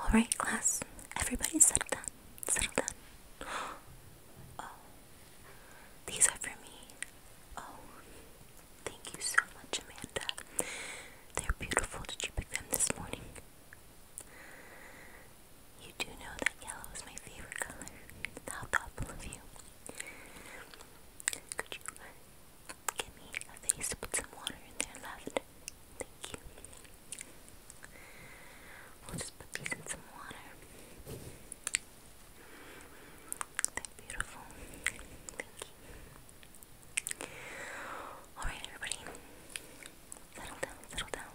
Alright, class. Everybody settle down. Settle down. Oh. These are for me. Oh. Thank you so much, Amanda. They're beautiful. Did you pick them this morning? You do know that yellow is my favorite color. How thoughtful of you. Could you give me a vase to put some water in there, lavender? Thank you. We'll just put these in some water. They're beautiful. Thank you. Alright, everybody. Settle down, settle down.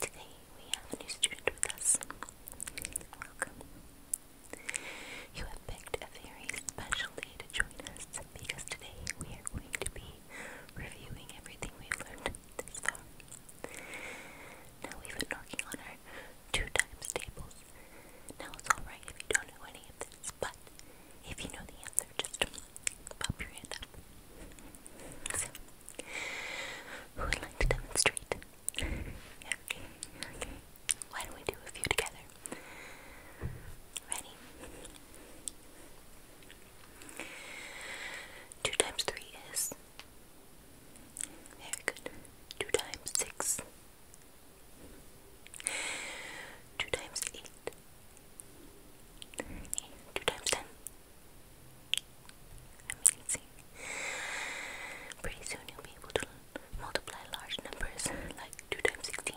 Today we have a new student with us. Welcome. You have picked a very specially join us because today we are going to be reviewing everything we've learned this far. Now we've been working on our two times tables. Now it's alright if you don't know any of this, but if you know the answer, just pop your hand up. So, who would like to demonstrate? okay, okay. Why don't we do a few together? Ready? Two times three is very good. Two times six. Two times eight. Two times ten. Amazing. Pretty soon you'll be able to multiply large numbers like two times sixteen.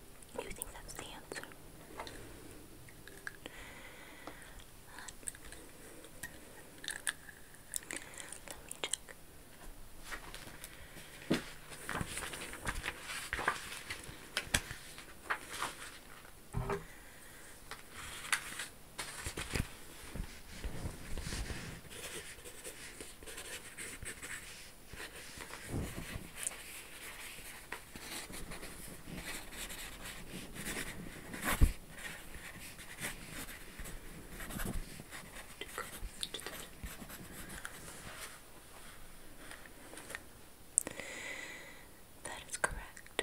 You think that's the answer? Let me check. That is correct.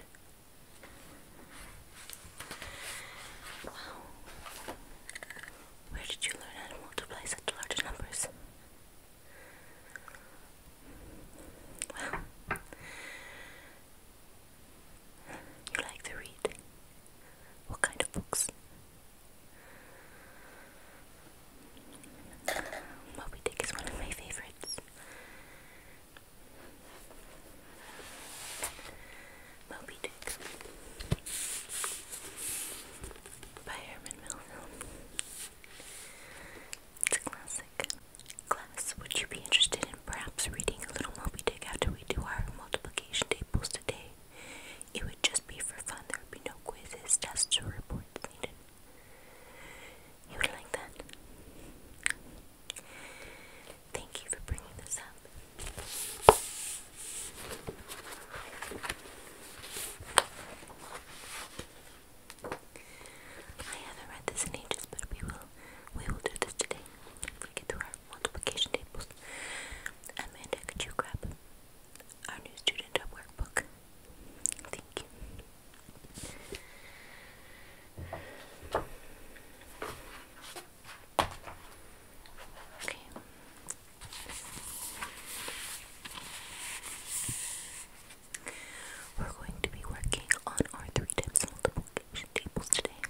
Wow. Where did you learn how to multiply such large numbers? Well, you like to read? What kind of books? Moby Dick is one of my favorites. Moby Dick by Herman Melville. It's a classic. Class, would you be interested in perhaps reading a little Moby Dick after we do our multiplication tables today? It would just be for fun. There would be no quizzes, tests, or reports needed. You would like that? Thank you for bringing this up. I haven't read this in ages, but we will we will do this today. we get through our multiplication tables. Amanda, could you grab our new student workbook? Thank you. Okay. We're going to be working on our three times multiplication tables today.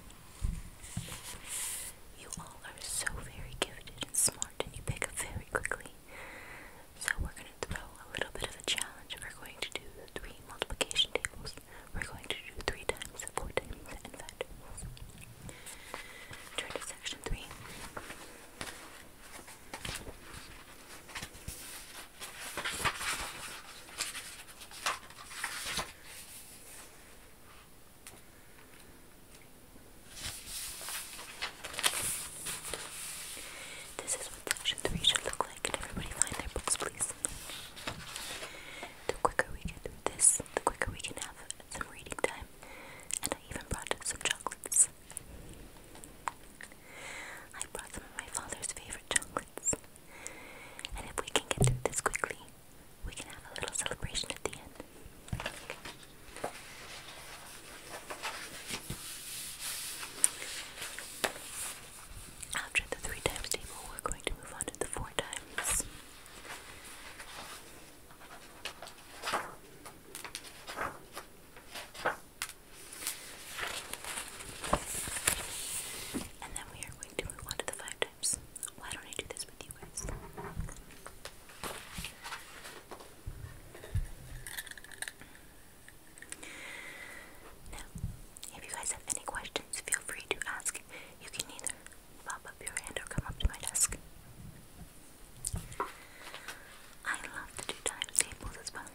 You all are so very gifted and smart and you pick up very quickly. So we're going to throw a little bit of a challenge. We're going to do three multiplication tables. We're going to do three times, four times, and five times. Turn to section three. This is what section three should look like. Can everybody find their books, please? The quicker we get this, the quicker we can have some reading time. And I even brought some chocolates. I brought some of my father's favorite chocolates. And if we can get through this quickly, we can have a little celebration at the end. After the three times table, we're going to move on to the four times. And then we are going to move on to the five types. Why don't I do this with you guys? if you guys have any questions, feel free to ask. You can either pop up your hand or come up to my desk. I love to do timetables as well.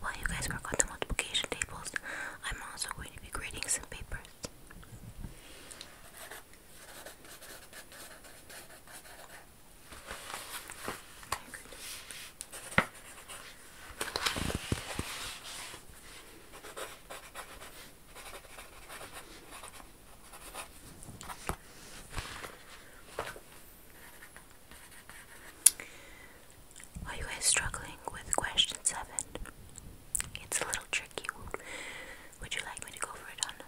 While you guys work on the multiplication tables, I'm also going to be grading some papers. Are you guys struggling with question seven? It's a little tricky. Would you like me to go for it on the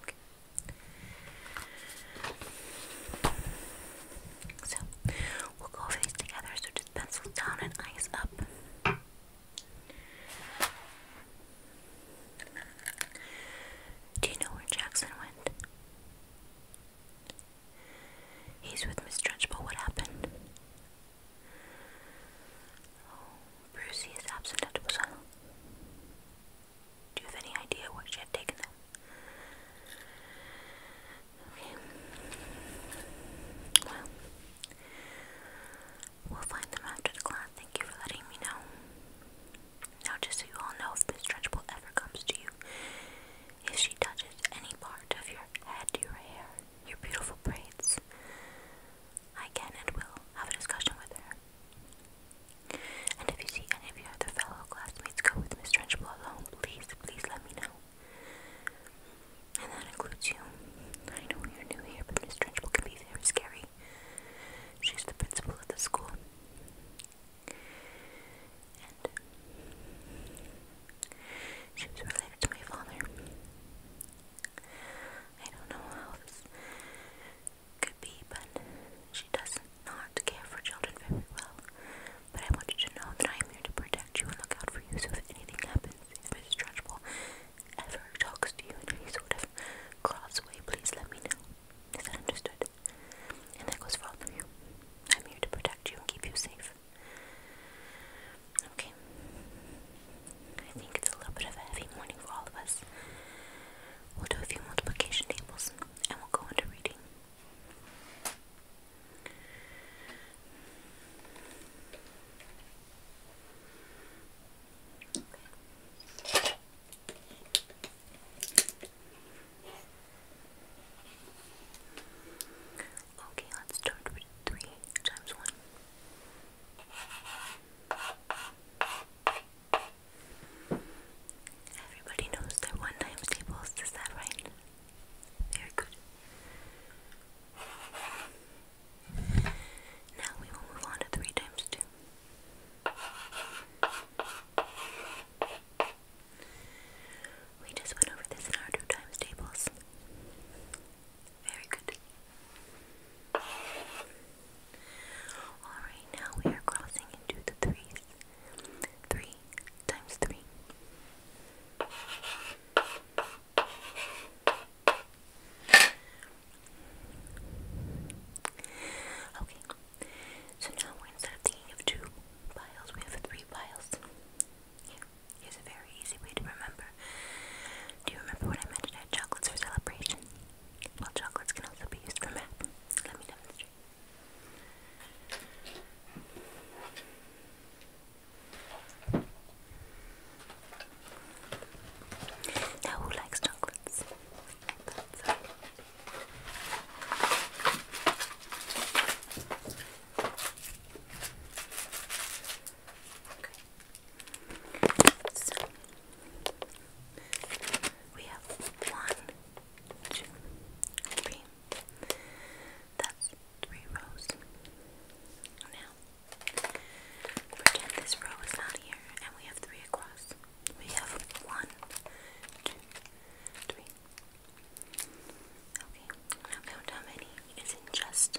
Okay. So we'll go over these together. So just pencils down and eyes up. Do you know where Jackson went? He's with Miss Trunchbull. What happened? Oh, Brucey is absent at Uppsala. Do you have any idea what she had taken them? Okay. Well, we'll find them after class. Thank you for letting me know. Now, just so you all know, if this stretchable ever comes to you, if she touches any part of your head, your hair, your beautiful braids. I can and will have a discussion with her. And if you see any of your other fellow classmates go with Miss Trenchable alone, please, please let me know. And that includes you. I know you're new here, but Miss Trenchable can be very scary. She's the principal of the school. And she related to my father. I don't know how this could be, but she does not care for children very well. But I want you to know that I am here to protect you and look out for you. So if anything happens, if Mrs. Trunchbull ever talks to you in any sort of cross way, please let me know. Is that understood? And that goes for all of you. I'm here to protect you and keep you safe. Okay. I think it's a little bit of a heavy morning for all of us. We'll do a few multiplication tables and we'll go into reading. Okay. let's start with 3 times 1. Everybody knows they one times tables, is that right? Very good. Now we will move on to three times two. We just went over this in our two times tables. Very good. Alright, now we are crossing into the threes. Three times three. Okay, so now instead of thinking of two piles, we have three piles. Here's a very easy way to remember. Do you remember when I mentioned I had chocolates for celebration? Well, chocolates can also be used for math. Now, who likes chocolates? So we have one, two, three. That's three rows. Now pretend this row is not here and we have three across. We have one, two, three. Okay, now count how many is in just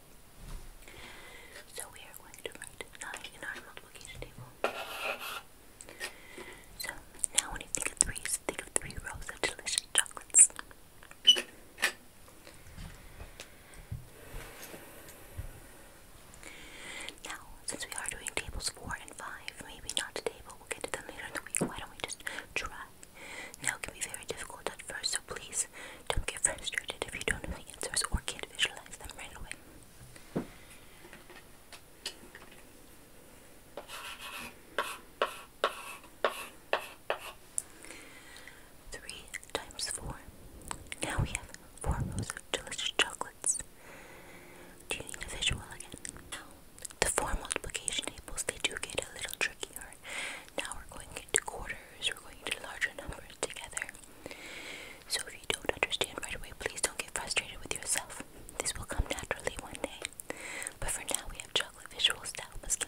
So we are going to write 9 in our multiplication table. So now when you think of threes, think of three rows of delicious chocolates. Now, since we are doing tables 4 and 5, maybe not today, but we'll get to them later in the week. Why don't we just try? Now it can be very difficult at first, so please don't get frustrated if you don't know the answers or can't visualize them right away. Three times four. Now we have four rows of delicious chocolates. Do you need a visual again? No. The four multiplication tables, they do get a little trickier. Now we're going into quarters, we're going into larger numbers together. So if you don't understand right away, please don't get frustrated with yourself. This will come naturally one day. But for now, we have chocolate visuals that must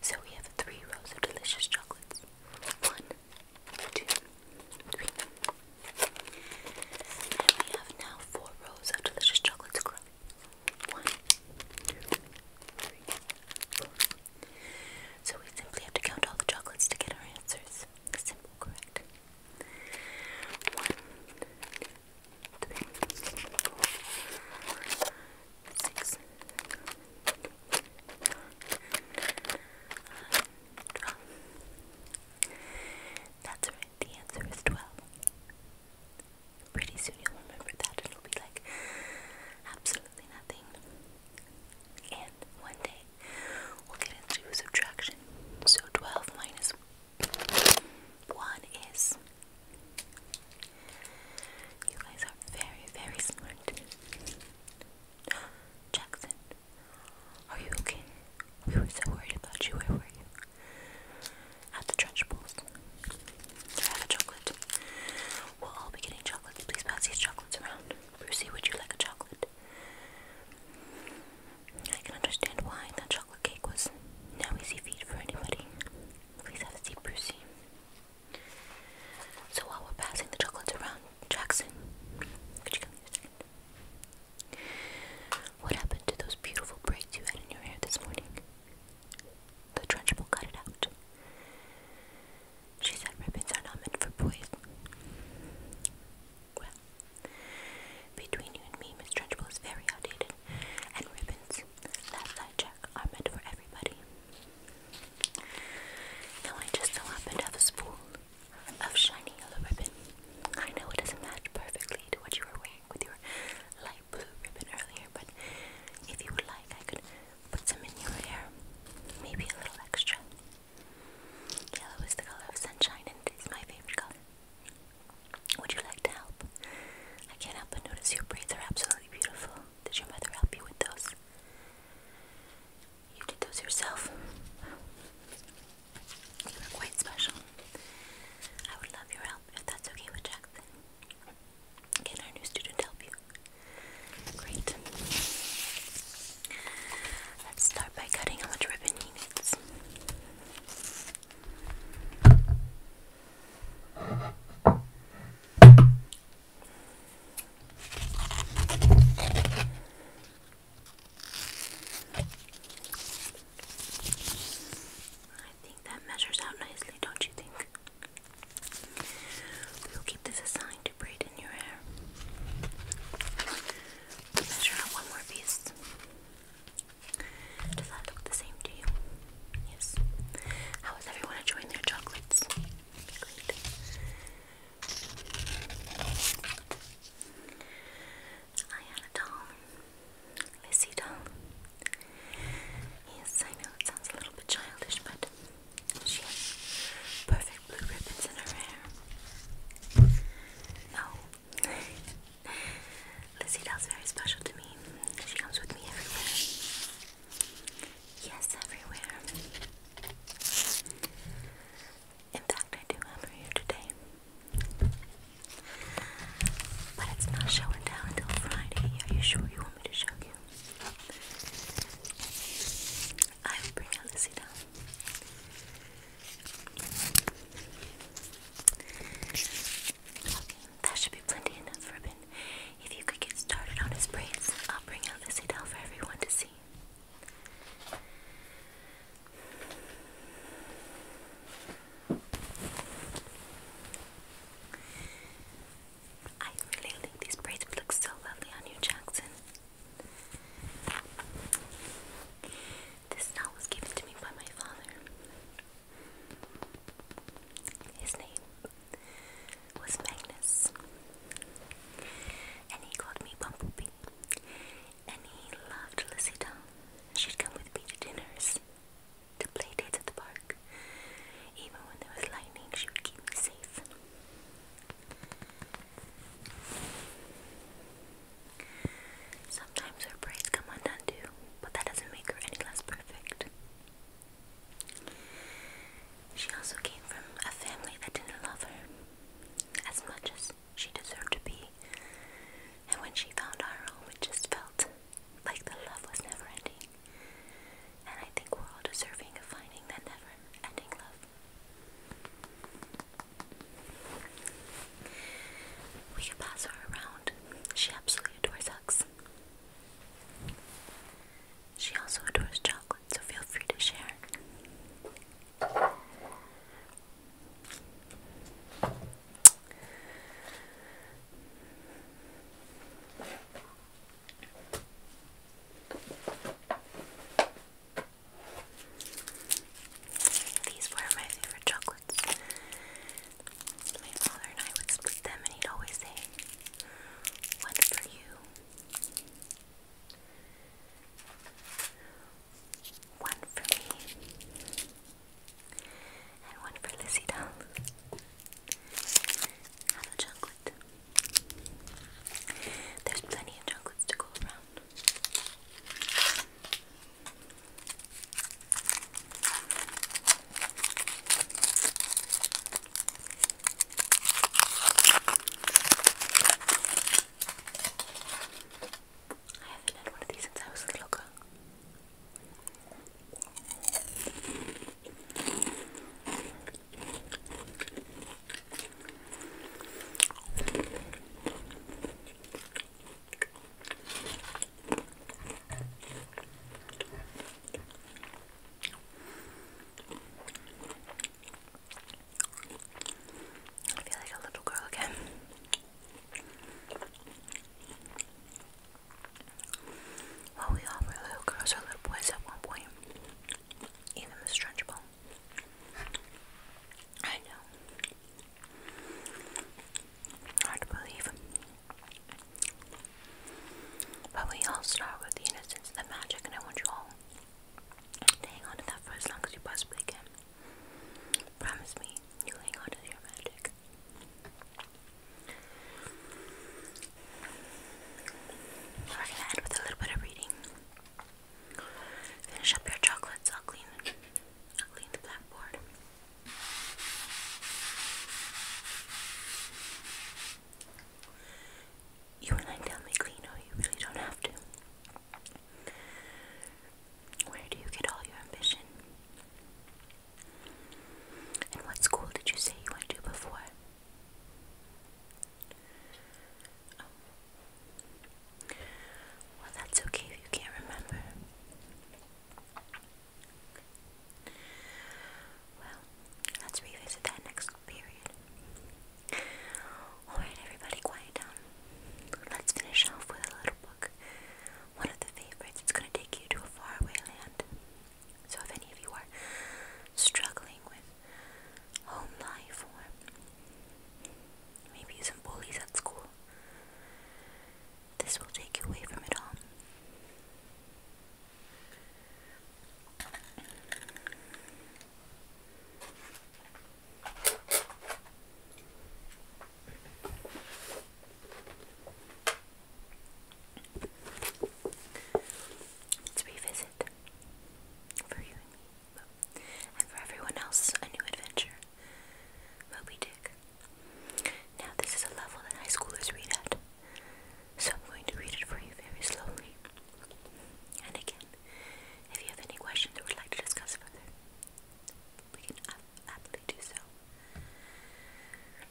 So we have three rows of delicious chocolates. One, two, three. And we have now four rows of delicious chocolates growing. So we simply have to count all the chocolates to get our answers. Simple, correct. One, three, four, six, twelve. That's right, the answer is twelve. Pretty soon you'll remember that. It'll be like absolutely nothing. And one day we'll get into subtraction. So 12 minus 1 is. You guys are very, very smart. Jackson, are you okay? We were so worried about you. Where were you? At the Trench Bowls have a chocolate. We'll all be getting chocolates. Please pass these chocolates around. Brucey, would you like a chocolate? I can understand why that chocolate cake was no easy feat for anybody. Please have a seat, Brucey. So while we're passing the chocolates around, Jackson, could you come here a second? What happened to those beautiful braids you had in your hair this morning? The trench will cut it out. She said ribbons are not meant for boys. Well, between you and me, Miss Trunchbull is very outdated, and ribbons, last I check, are meant for everybody. Now I just so happen to have a spool of shiny yellow ribbon. I know it doesn't match perfectly to what you were wearing with your light blue ribbon earlier, but if you would like, I could Put some in your hair, maybe a little extra. Yellow is the color of sunshine and it's my favorite color. Would you like to help? I can't help but notice your braids are absolutely beautiful. Did your mother help you with those? You did those yourself. You're quite special. I would love your help if that's okay with Jackson. Can our new student help you? Great. Let's start by cutting how much ribbon he needs. I think that measures out nicely, don't you think? We will keep this as sign to braid in your hair. Measure out one more piece. Does that look the same to you? Yes. How is everyone enjoying their chocolates? Great. I had a doll. Yes, I know it sounds a little bit childish, but she has perfect blue ribbons in her hair. No. Lizzie Doll's very special to me. She comes with me everywhere. Yes, everywhere. In fact, I do have her here today. But it's not show and tell Friday. Are you sure you want me to show you? I will bring Alice down. Okay, that should be plenty enough ribbon. If you could get started on his braids, I'll bring out Lizzie for everyone to see. I really think these braids look so lovely on you, Jackson. This knot was given to me by my father. His name was Magnus. And he called me Bumblebee. And he loved Lisita. She'd come with me to dinners, to play dates at the park. Even when there was lightning, she would keep me safe. Sometimes her prayers come undone too, but that doesn't make her any less perfect. She also came from a family that didn't love her as much as she deserved to be, and when she found our home, it just felt like the love was never ending. And I think we're all deserving of finding that never ending love. We can pass her around. She absolutely adores hugs. She also adores chocolate, so feel free to share. These were my favorite chocolates. My father and I would split them, and he'd always say, One for you, one for me, and one for Lizzie Doll. Have a chocolate. There's plenty of chocolates to go around. I haven't had one of these since I was a little girl. I feel like a little girl again. Well, we all were little girls or little boys at one point. Even Miss Trunchbull. I know. Hard to believe. But we all start with the innocence and the magic, and I want you all to hang on to that for as long as you possibly can. Promise me you'll hang on to your magic. We're gonna end with a little bit of reading. Finish up your chocolates. I'll clean. I'll clean the blackboard. You and I tell me clean, or you really don't have to. Where do you get all your ambition? And what school did you say you went to before? Oh. Well, that's okay if you can't remember. Well, let's revisit that next period. Alright, everybody, quiet down. Let's finish off with a little book. One of the favorites. It's going to take you to a faraway land. So if any of you are struggling with home life or maybe some bullies at school, this will take you away from it all. Let's revisit for you and me, and for everyone else, a new adventure. Moby Dick. Now, this is a level that high schoolers read at, so I'm going to read it for you very slowly. And again, if you have any questions or would like to discuss further, we can happily do so.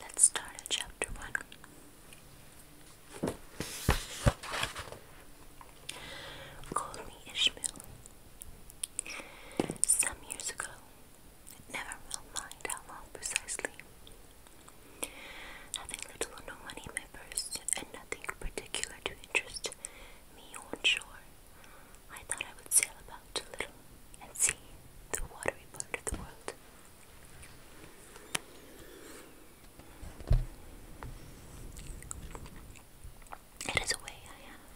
Let's start at chapter one. Call me Ishmael. Some years ago, never mind how long precisely. Having little or no money in my purse, and nothing particular to interest me on shore, I thought I would sail about a little and see the watery part of the world. It is a way I have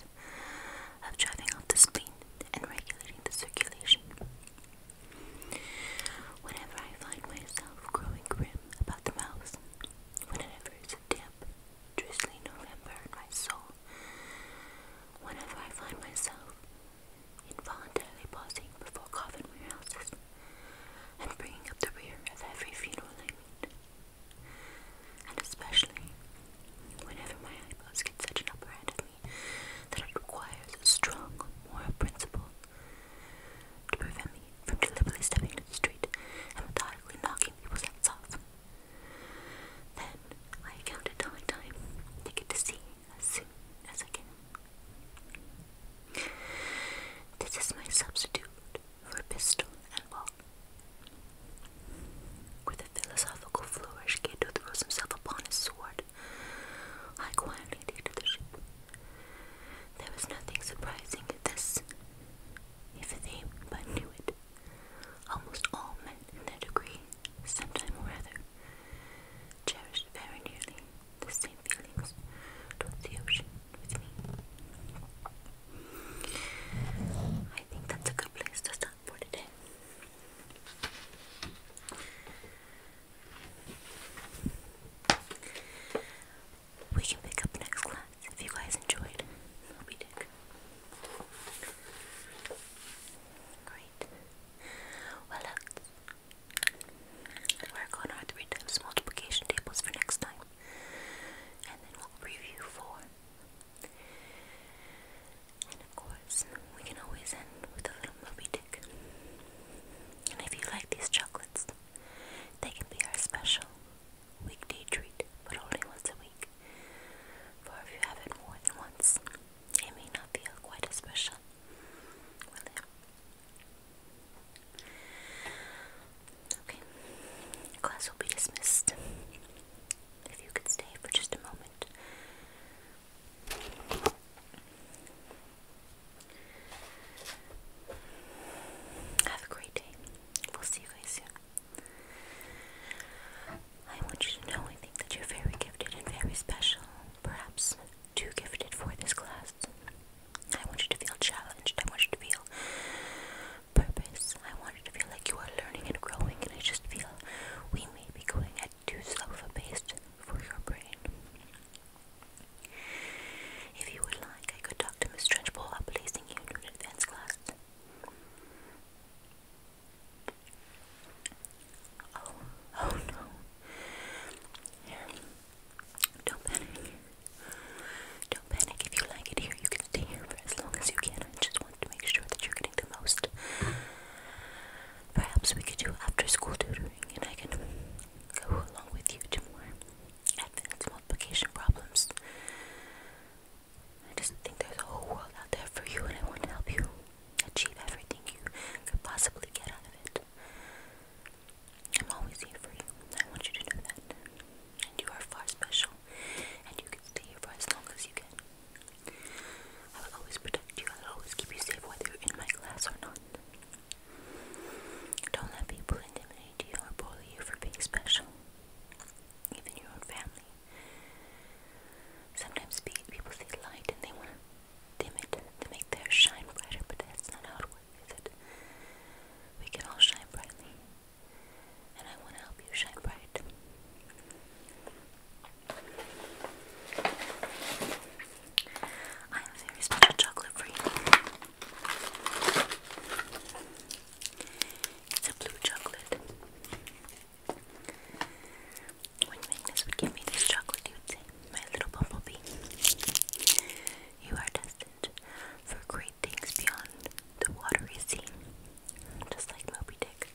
of driving off the spleen and regulating the circulation. Whenever I find myself growing grim about the mouth, whenever it's damp damp, drizzly November in my soul. Whenever I find myself involuntarily pausing before coffin warehouses and bringing up the rear of every funeral I meet, and especially whenever my eyebrows get such an upper hand of me that it requires a strong moral principle to prevent me from deliberately stepping into the street and methodically knocking people's heads off. Then I count it down time to get to sea as soon as I can. This is my substitute for pistol and ball. With a philosophical flourish, Cato throws himself upon his sword. I quietly dated the ship. There was nothing surprising in this, if they but knew it. Almost all men in their degree, sometime or other, cherished very nearly the same feelings towards the ocean with me. I think that's a good place to stop for today. We can pick up next class if you guys enjoyed. Moby Dick. Great. Well, let's work on our three times multiplication tables for next time, and then we'll review four. And of course, we can always end with a little movie tick. And if you like these chocolates, they can be our special weekday treat, but only once a week. For if you have it more than once, it may not feel quite as special, Okay, class will be dismissed. If you could stay for just a moment. Have a great day. We'll see you guys soon. I want you to know I think that you're very gifted and very special, perhaps too gifted for this class. I want you to feel challenged. I want you to feel purpose. I want you to feel like you are learning and growing, and I just feel we may be going at too slow of a pace for your brain. If you would like, I could talk to Miss Trenchbull about placing you in an advanced class. Oh, oh, no. Don't panic. Don't panic. If you like it here, you can stay here for as long as you can. I just want to make sure that you're getting the most. Perhaps we could do after school tutoring and I can go along with you to more advanced multiplication problems. I just think there's a whole world out there for you, and I want to help you achieve everything you could possibly get out of it. I'm always here for you. I want you to know that. And you are far special, and you can stay here for as long as you can. I will always protect you, I will always keep you safe, whether you're in my class or not. Don't let people intimidate you or bully you for being special. Even your own family. Sometimes people see light and they want to dim to make theirs shine brighter, but that's not how it works, it? We can all shine brightly, and I want to help you shine bright. I have a very special chocolate for you. It's a blue chocolate. When Magnus would give me this chocolate, he would say, My little bumblebee, you are destined for great things beyond the watery sea, just like Moby Dick.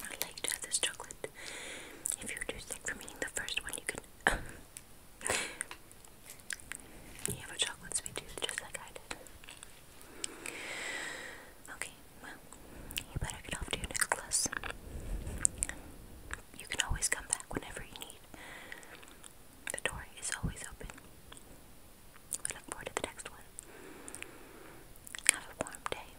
I like to have this chocolate. If you're too sick from eating the first one, you can. you have a chocolate sweet tooth just like I did. Okay, well, you better get off to your necklace. You can always come back whenever you need. The door is always open. We look forward to the next one. Have a warm day